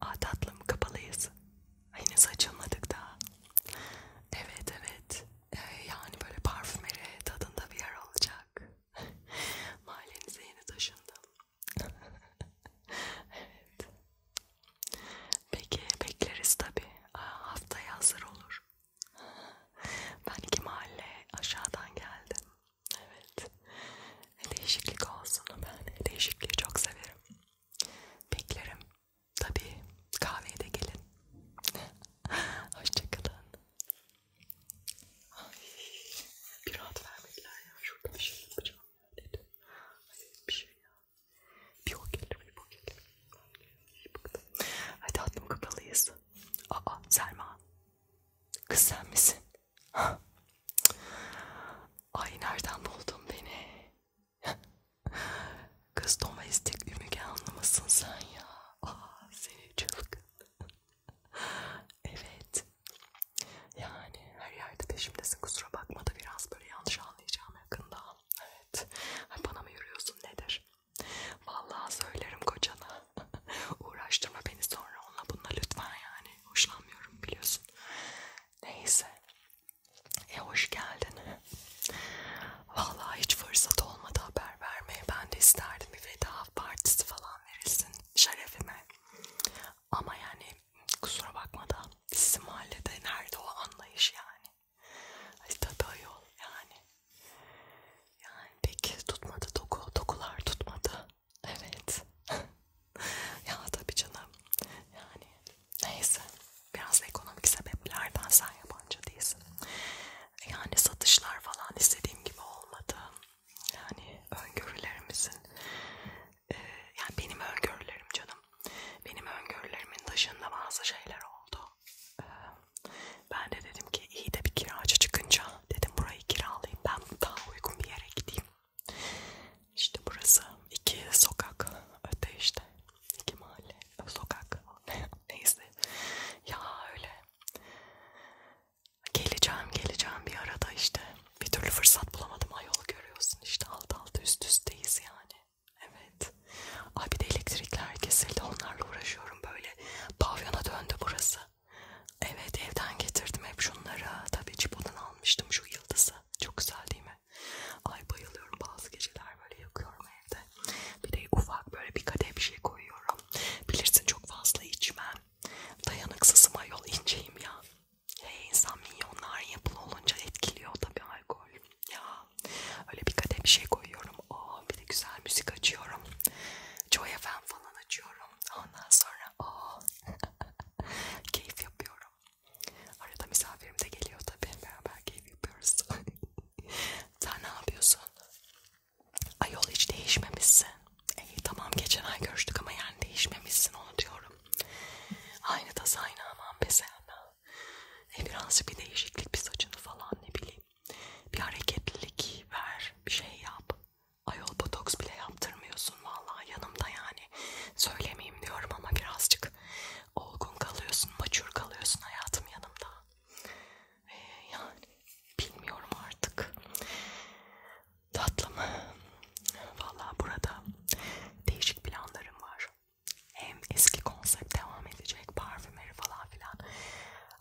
Aa tatlım kapalıyız. Yine saçımladık da. Evet evet. Ee, yani böyle parfümeri tadında bir yer olacak. Mahallenize yeni taşındım. evet. Peki bekleriz tabi. Haftaya hazır olur. ben iki mahalle aşağıdan geldim. Evet. Değişiklik olsun. Ben değişikliği çok severim. Beklerim. Tabii kahveye de gelin. Hoşçakalın. Ay, bir rahat vermediler ya. Şurada bir şey yapacağım ya dedim. Hayır bir şey ya. Bir o gelir bir bu gelir. Hadi atlım kapalıyız. Aa Selma. Kız sen misin? Ay nereden buldun beni? Kız domestik ümüge anlamasın sen ya. Aa seni çılgın. evet. Yani her yerde peşimdesin kusura bakma da biraz böyle yanlış anlayacağım yakında. Evet. Ay, bana mı yürüyorsun nedir? Vallahi söylerim kocana. Uğraştırma beni sonra onunla bununla lütfen yani hoşlanmıyorum biliyorsun. Neyse. E hoş geldin. Vallahi hiç fırsat olmadı haber vermeye. Ben de isterdim bir veda partisi falan verilsin şerefime. Ama yani kusura bakma da sizin mahallede nerede o anlayış yani. Tabii yol yani. Yani peki tutmadı doku, dokular tutmadı. Evet. ya tabii canım. Yani neyse. Biraz ekonomik sebeplerden sen yabancı değilsin. Yani satışlar falan istediğim gibi olmadı. Yani öngörülerimizin e, yani benim öngörülerim canım. Benim öngörülerimin dışında bazı şeyler oldu. E, ben de dedim ki iyi de bir kiracı çıkınca Dedim burayı kiralayayım ben daha uygun bir yere gideyim. İşte burası iki sokak öte işte iki mahalle sokak neyse ya öyle geleceğim geleceğim bir arada işte bir türlü fırsat bulamadım ayol görüyorsun işte alt alta üst üsteyiz yani evet ay ah, bir de elektrikler kesildi onlarla uğraşıyorum böyle pavyona döndü burası Evet evden getirdim hep şunları. Tabii Cibo'dan almıştım şu yıldızı. Çok güzel değil mi? Ay bayılıyorum bazı geceler böyle yakıyorum evde. Bir de ufak böyle bir kadeh bir şey koyuyorum. Bilirsin çok fazla içmem. Dayanıksızım ayol inceyim ya. Hey, insan milyonların yapılı olunca etkiliyor tabii alkol. Ya öyle bir kadeh bir şey koyuyorum. Aa, oh, bir de güzel müzik açıyorum. Joy FM falan açıyorum yapıyorum. Ondan sonra o keyif yapıyorum. Arada misafirim de geliyor tabii. Beraber keyif yapıyoruz. Sen ne yapıyorsun? Ayol hiç değişmemişsin. İyi tamam geçen ay görüştük ama yani değişmemişsin onu diyorum. Aynı tas aynı aman be sen. E birazcık bir değişiklik bir saçını falan ne bileyim. Bir hareketlilik ver. Bir şey yap. Ayol botoks bile yaptırmıyorsun vallahi yanımda yani. Söylemeyeyim diyorum ama birazcık olgun kalıyorsun, maçur kalıyorsun hayatım yanımda. Ee, yani bilmiyorum artık. Tatlım. Vallahi burada değişik planlarım var. Hem eski konsept devam edecek, parfümleri falan filan.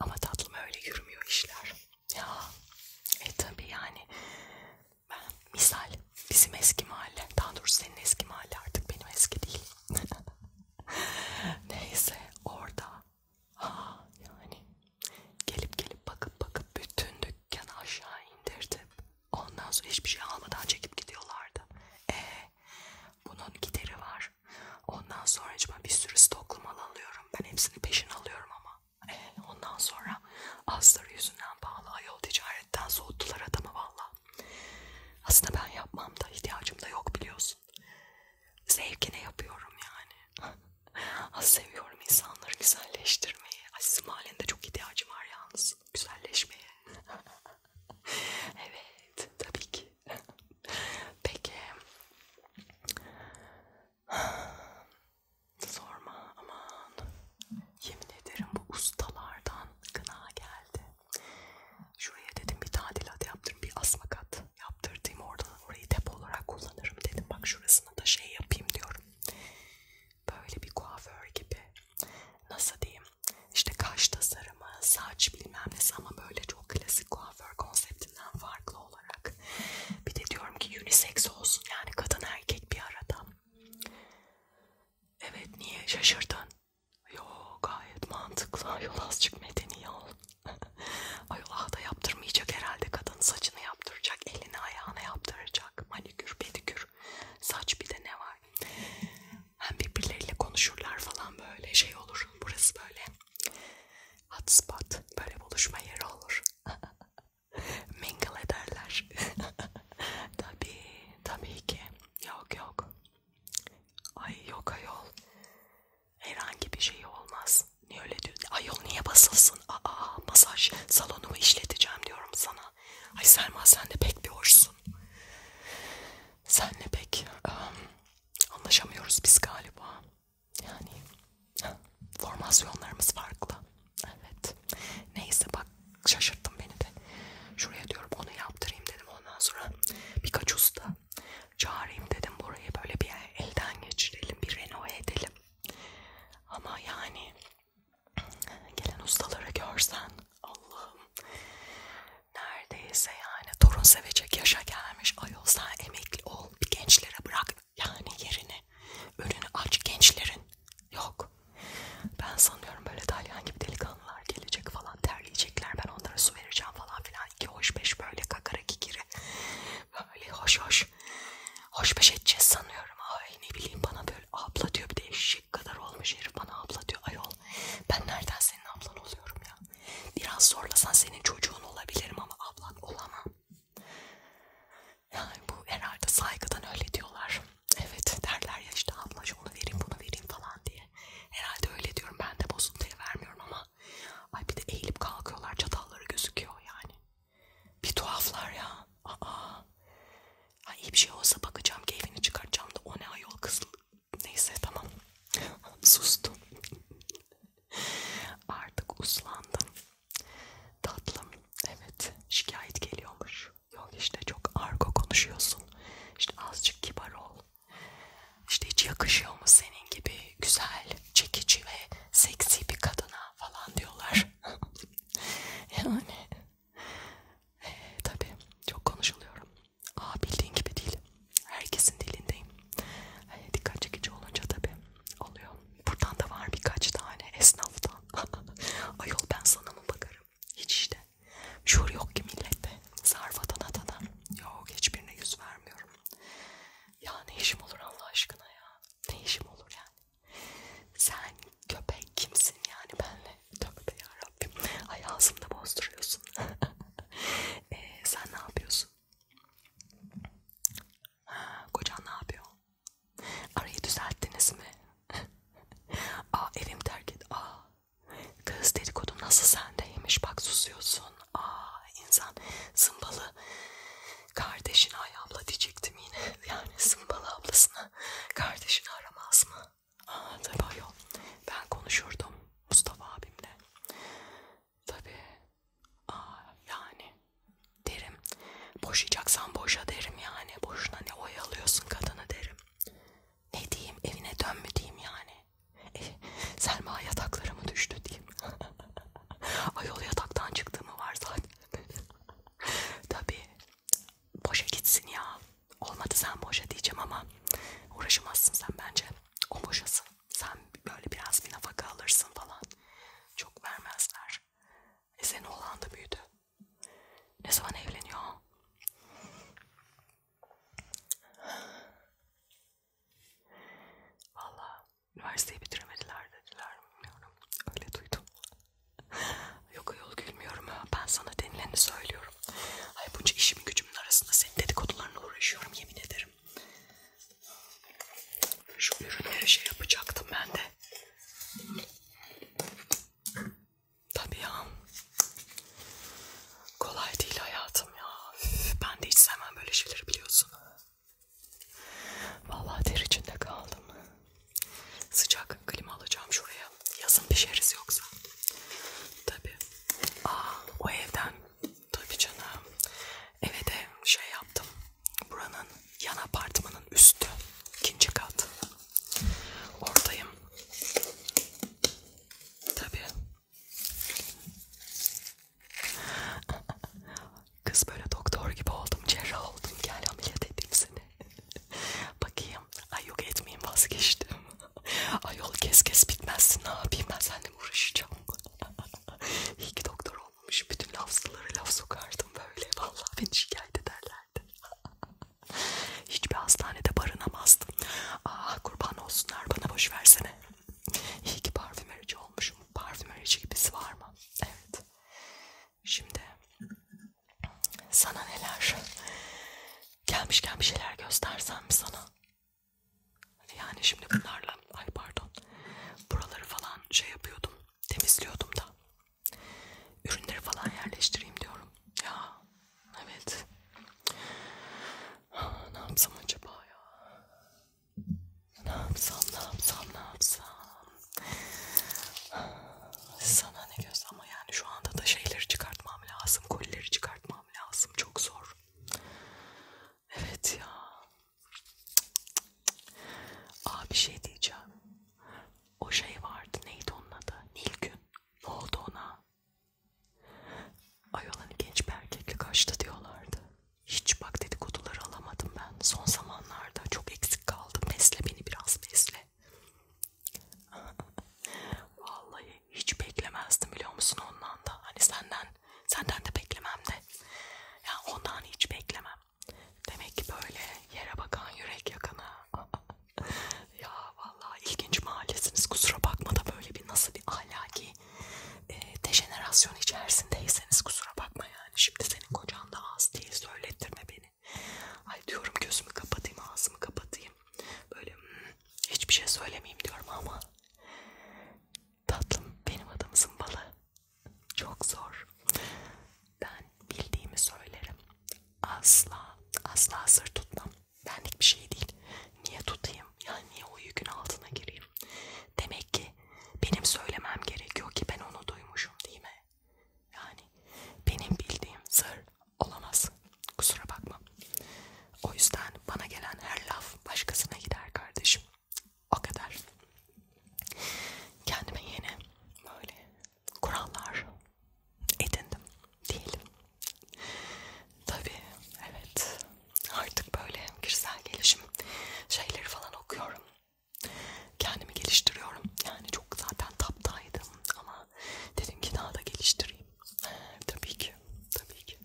Ama tatlım öyle yürümüyor işler. Ya e tabi yani ben misal bizim eski mahalle daha doğrusu senin eski mahalle artık benim eski değil. Neyse orada ha yani gelip gelip bakıp bakıp bütün dükkanı aşağı indirdim. Ondan sonra hiçbir şey almadan çekip gidiyorlardı. E bunun gideri var. Ondan sonra acaba bir sürü stoklu mal alıyorum. Ben hepsini peşin alıyorum ama. E, ondan sonra astarı yüzünden pahalı ayol ticaretten soğuttular adamı valla. Aslında ben yapmam da ihtiyacım da yok biliyorsun. Zevkine yapıyorum yani. Az seviyorum insanları güzelleştirmeyi. Azizim halinde çok ihtiyacım var yalnız. Güzelleşmeye. evet tabii ki. Peki. Sorma aman. Yemin ederim bu ustalardan gına geldi. Şuraya dedim bir tadilat yaptırım, bir asma kat yaptırdım oradan orayı depo olarak kullanırım dedim. Bak şurasını da şey yapayım diyorum. Böyle bir kuaför gibi. Nasıl diyeyim? İşte kaş tasarımı, saç bilmem nesi ama böyle çok klasik kuaför konsepti şeklinden farklı olarak. Bir de diyorum ki unisex olsun yani kadın erkek bir arada. Evet niye şaşırdın? Yo gayet mantıklı. Ayol azıcık medeni yol. Ayol ah da yaptırmayacak herhalde kadın saçını yaptıracak, elini ayağına yaptıracak, manikür, pedikür, saç bir de ne var? Hem birbirleriyle konuşurlar falan böyle şey olur. Burası böyle Hotspot böyle buluşma yeri olur. Mingle ederler. tabii, tabii ki. Yok yok. Ay yok ayol. Herhangi bir şey olmaz. Niye öyle diyor? Ayol niye basılsın? Aa masaj salonumu işleteceğim diyorum sana. Ay Selma sen de pek bir hoşsun. Senle pek um, anlaşamıyoruz biz galiba. Yani formasyonlarımız farklı. Evet. Neyse bak şaşırttın beni de. Şuraya diyorum onu yaptırayım dedim. Ondan sonra birkaç usta çağırayım dedim. Burayı böyle bir elden geçirelim. Bir renove edelim. Ama yani gelen ustaları görsen Allah'ım neredeyse yani torun sevecek yaşa gelmiş ayol sen emekli ol ol. Bir gençlere bırak yani yerini. Önünü aç gençlerin. Yok. Ben sanıyorum böyle dalyan gibi delikanlılar gelecek falan terleyecekler. Ben onlara su vereceğim falan filan. İki hoş beş böyle kakara kikiri. Böyle hoş hoş. Hoş beş edeceğiz sanıyorum. Ay ne bileyim bana böyle abla diyor. Bir de eşek kadar olmuş herif bana abla diyor. Ayol ben nereden senin ablan oluyorum ya. Biraz zorlasan senin çocuğun olabilirim ama ablan olamam. Yani bu herhalde saygıdan öyle diyorlar. Evet derler ya işte ablacığım onu vereyim bunu vereyim falan diye. Herhalde öyle diyorum ben de bozuntuya vermiyorum ama ay bir de eğilip kalkıyorlar çatalları gözüküyor yani. Bir tuhaflar ya. Aa. Ha iyi bir şey olsa bakacağım keyfini çıkartacağım da o ne ayol kız Neyse tamam. Sustum. Artık uslandım. Tatlım. Evet şikayet geliyormuş. Yok işte çok argo konuşuyorsun. İşte azıcık kibar ol. İşte hiç yakışıyor mu senin gibi güzel, çekici ve seksi bir kadına falan diyorlar. yani. E, tabii çok konuşuluyorum. Aa bildiğin gibi değil. Herkesin dilindeyim. Yani dikkat çekici olunca tabii oluyor. Buradan da var birkaç tane esnaftan. Ayol ben sana mı bakarım? Hiç işte. Şuur yok ki millette. Sarfadan atada. Yok hiçbirine yüz vermiyorum. Ya ne işim olur Allah aşkına ya. Ne işim olur yani. Sen köpek kimsin yani benle? Tövbe yarabbim. Ay ağzımda bozduruyorsun. e, sen ne yapıyorsun? musunuz? Ha, kocan ne yapıyor? Arayı düzelttiniz mi? Aa evim terk et. Aa kız dedikodum nasıl sendeymiş bak susuyorsun. Aa insan zımbalı kardeşini ay abla diyecektim yine. Yani zımbalı ablasını kardeşini aramaz mı? Aa tabii ayol ben konuşurdum. Mustafa abimle. Tabi yani derim boşayacaksan boşa derim yani boşuna ne oyalıyorsun kadını derim. Ne diyeyim evine dön mü diyeyim yani. E, Selma yataklara mı düştü diyeyim. Ayol yataktan çıktı mı var zaten. Tabi boşa gitsin ya. Olmadı sen boşa diyeceğim ama uğraşamazsın sen bence o boşasın. Sen böyle biraz bir nafaka alırsın falan. Çok vermezler. E senin oğlan da büyüdü. Ne zaman evleniyor? Valla üniversiteyi bitiremediler dediler. Bilmiyorum. Öyle duydum. Yok yol gülmüyorum. Ben sana denileni söylüyorum uğraşıyorum. Ay bunca işimin gücümün arasında senin dedikodularına uğraşıyorum yemin ederim. Şu ürünleri şey yapacaktım ben de. Tabii ya. Kolay değil hayatım ya. Üf, ben de hiç sevmem böyle şeyleri biliyorsun. Vallahi ter içinde kaldım. Sıcak klima alacağım şuraya. Yazın pişeriz yoksa. Tabii. Aa, ah, o evden tabii canım. Eve de şey yaptım. Buranın yan apartmanın üstü, ikinci kat. Oradayım. Tabii. Kız böyle doktor gibi oldum, cerrah oldum. Gel ameliyat edeyim seni. Bakayım Ay yok etmeyeyim vazgeçtim. Ay yol kes kes bitmezsin ne yapayım ben seninle uğraşacağım. İyi ki doktor olmamış bütün lafzıları laf sokardım böyle. Vallahi beni şikayet ederlerdi. Hiçbir hastanede barınamazdım. Aa ah, kurban olsunlar bana boş versene. İyi ki parfümerici olmuşum. Parfümerici gibisi var mı? Evet. Şimdi sana neler gelmişken bir şeyler göstersem sana. Yani şimdi bunlarla ay pardon buraları falan şey yapıyordum temizliyordum da ürünleri falan yerleştireyim diyorum ya evet ha, ne yapsam acaba ya ne yapsam ne yapsam ne yapsam ha, sana ne diyorsun ama yani şu anda da şeyleri çıkartmam lazım kolileri çıkartmam lazım lazım. Çok zor. Evet ya. Aa bir şey diyeceğim. O şey vardı. Neydi onun adı? Nilgün. Ne oldu ona? Ayolan'ı genç bir erkekle kaçtı diyorlardı. Hiç bak dedikoduları alamadım ben. Son zamanlarda çok eksik kaldım. Besle beni biraz besle. Vallahi hiç beklemezdim biliyor musun ondan da. Hani senden, senden de beklemem de. Ya yani ondan hiç beklemem. Demek ki böyle yere bakan yürek yakana. ya vallahi ilginç mahallesiniz. Kusura bakma da böyle bir nasıl bir ahlaki e, dejenerasyon içerisindeyseniz kusura bakma yani. Şimdi senin kocan da az değil söylettirme beni. Ay diyorum gözümü kapatayım ağzımı kapatayım. Böyle hmm, Hiçbir şey söylemeyeyim diyorum ama tatlım benim adım zımbalı. Çok zor. Ben bildiğimi söylerim. Asla asla sır tutmam. Benlik bir şey değil. Niye tutayım? Yani niye o yükün altına gireyim? Demek ki benim söylemem gerekiyor ki ben onu duymuşum değil mi? Yani benim bildiğim sır olamaz. Kusura bakma. O yüzden bana gelen her laf başkasına gider kardeşim. O kadar. Kendime yeni böyle kurallar edindim diyelim. Tabii evet artık böyle kişisel gelişim şeyleri falan okuyorum. Kendimi geliştiriyorum. Yani çok zaten taptaydım ama ama dedim ki daha da geliştireyim. Ee, tabii ki, tabii ki.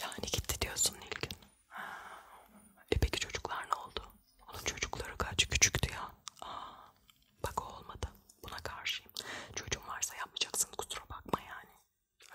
Yani gitti diyorsun Nilgün. E peki çocuklar ne oldu? Onun çocukları kaç küçüktü ya. Aa, bak o olmadı. Buna karşıyım. Çocuğun varsa yapmayacaksın kusura bakma yani.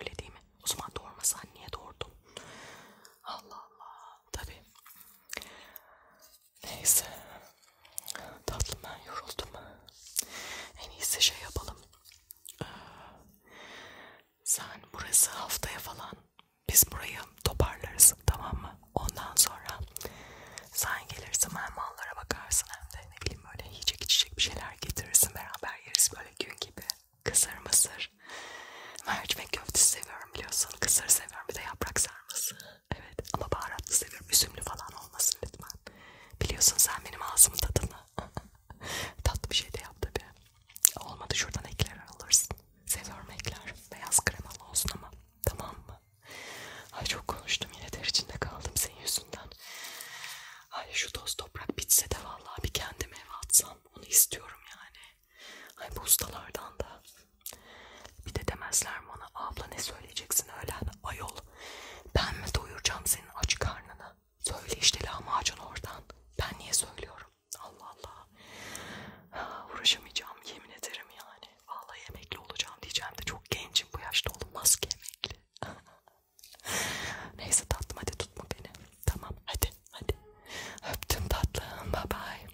Öyle değil mi? O zaman doğurmasan niye doğurdun? Allah Allah. Tabii. Neyse. Tatlım ben yoruldum. En iyisi şey yapalım. Ee, sen burası haftaya falan biz burayı toparlarız tamam mı? Ondan sonra sen gelirsin ben mallara bakarsın hem de ne bileyim böyle yiyecek içecek bir şeyler getirirsin beraber yeriz böyle gün gibi. Kısır mısır. Mercimek köftesi seviyorum biliyorsun. Kısır seviyorum bir de yaprak sarması. Evet ama baharatlı seviyorum. Üzümlü falan olmasın lütfen. Biliyorsun sen benim ağzımın tadını. Tatlı bir şey de yap tabi. Olmadı şuradan ekler alırsın. Seviyorum ekler. Beyaz kremalı olsun ama. Tamam mı? Ay çok konuştum yine ter içinde kaldım senin yüzünden. Ay şu toz toprak bitse de vallahi bir kendime ev atsam. Onu istiyorum yani. Ay bu ustalardan da. Bir de demezler bana abla ne söyleyeceksin öğlen hani ayol. Ben mi doyuracağım senin aç karnını? Söyle işte lahmacun oradan. Ben niye söylüyorum? Allah Allah. Ha, uğraşamayacağım yemin ederim yani. Vallahi emekli olacağım diyeceğim de çok gencim bu yaşta olmaz ki emekli. Neyse tatlım hadi tutma beni. Tamam hadi hadi. Öptüm tatlım bye bye.